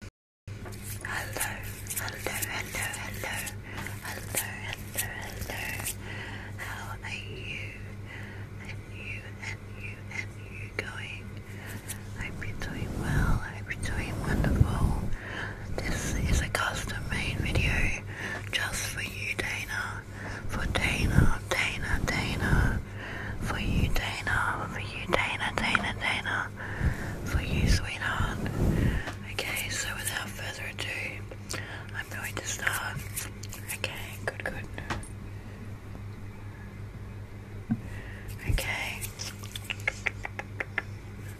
Hello, hello, hello, hello, hello, hello, hello. How are you? And you, and you, and you going? I hope doing well. I hope doing wonderful. This is a custom-made video just for you, Dana. For Dana, Dana, Dana. For you, Dana. For you, Dana, Dana, Dana better for you, sweetheart. Okay, so without further ado, I'm going to start. Okay, good, good. Okay.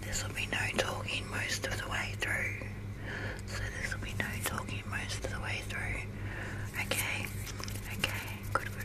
This will be no talking most of the way through. So this will be no talking most of the way through. Okay, okay, good, good.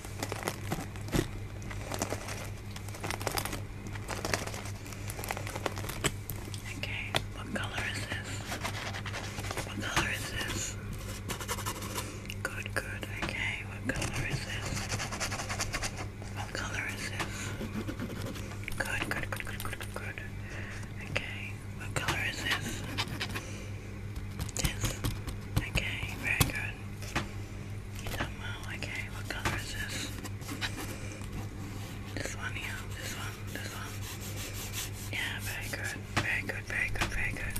Okay, what color is this? What color is this? Good, good. Okay, what color is this? What color is this? Good, good, good, good, good, good. Okay, what color is this? This. Okay, very good good. You done well. Okay, what color is this? This one, yeah. This one, this one. Yeah, very good. Very good, very good, very good.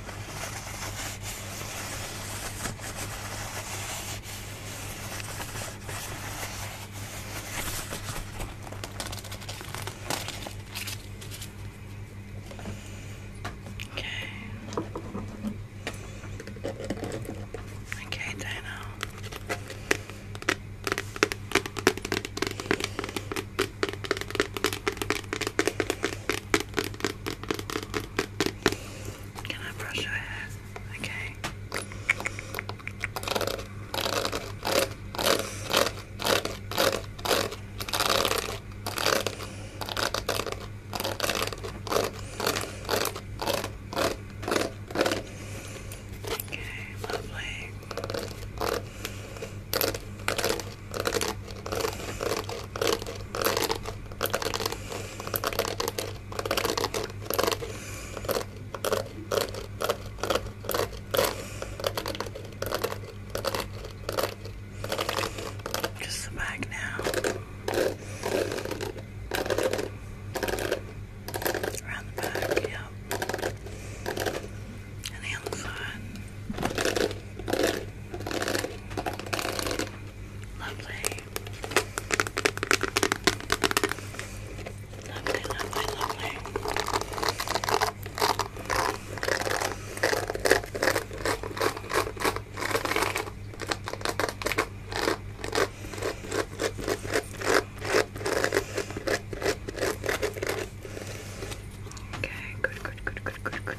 Okay. Okay, Dana. Can I brush your hair? Okay. Okay, lovely. Just the back now. Around the back, yep. And the other side. Lovely. Lovely, lovely, lovely. Okay, good, good, good, good, good, good, good.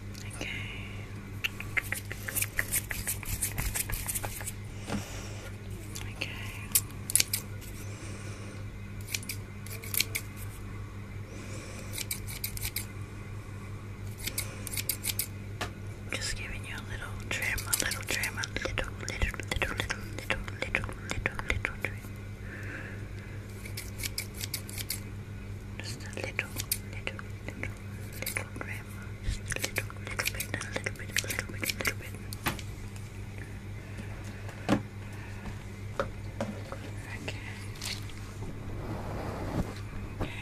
Okay. Okay. Just giving you a little trim, a little trim, a little, little, little, little, little, little, little, little, trim. Just a little, little, little, little grandma. Just a little, little bit, a little bit, little bit, little bit. Okay. Okay.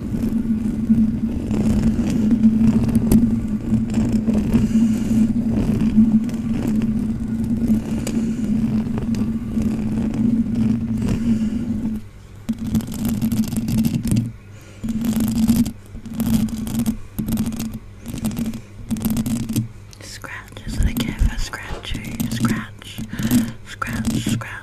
Scratch that I care for scratch, scratch, scratch.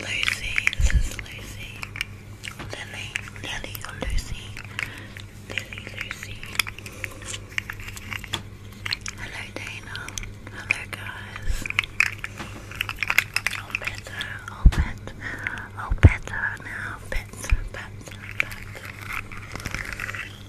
Lucy, this is Lucy. Lily, Lily or Lucy. Lily, Lucy. Hello Dana. Hello guys. All better, all better, all better now. Better, better, better. Hello,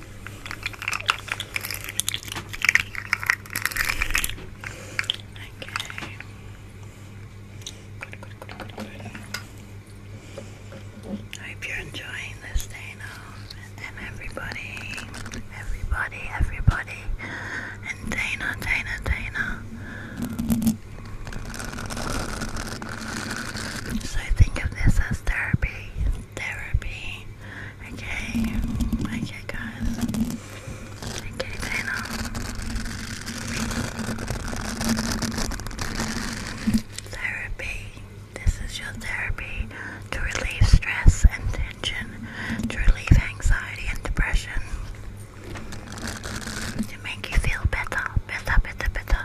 Okay. I hope you're enjoying this day now. And everybody, everybody, everybody. And Dana, Dana, Dana. So think of this as therapy therapy. Okay, okay, guys. Okay, Dana. Um, therapy. This is your therapy to relieve stress and tension, to relieve anxiety and depression, to make you feel better, better, better, better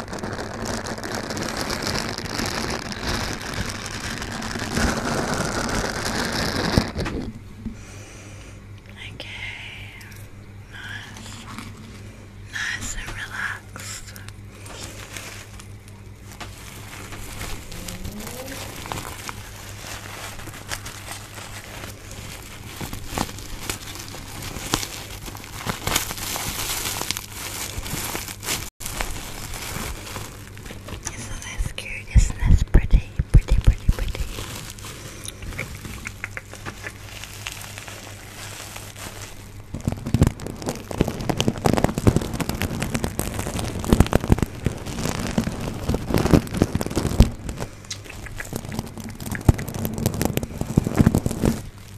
Okay, nice, nice and relaxed. Isn't this cute? Isn't this pretty? Pretty, pretty, pretty.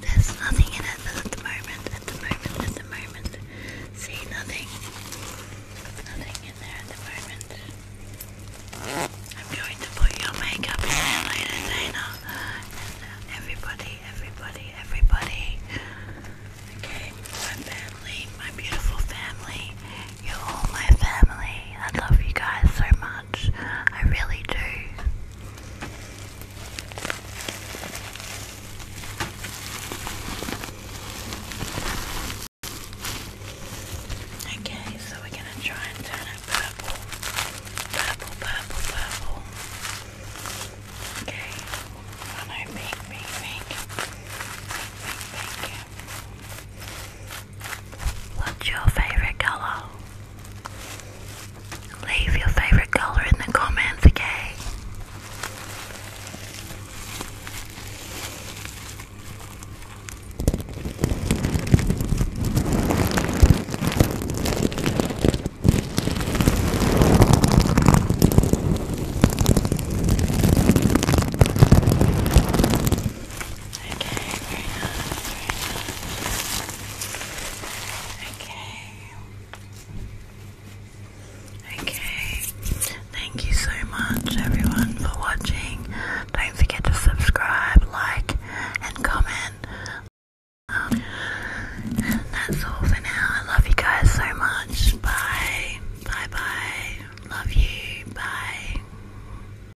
There's, nothing in it at the moment, at the moment, at the moment. See, nothing. Nothing in there at the moment. I'm going to put your makeup in there later, Dana. And uh, everybody, everybody, everybody. Okay, my family, my beautiful family. You're all my family. I love you guys so much. I really do. Okay, so we're gonna try and turn it purple. Purple, purple, purple. Okay. Oh no, pink, pink, pink. Pink, pink, pink. What's your favorite color? Leave your favorite color in the comments, okay? Okay, Okay. Okay. Thank you so much everyone for watching. Don't forget to subscribe, like and comment. and um, that's all for now. I love you guys so much. Bye. Bye bye. Love you. Bye.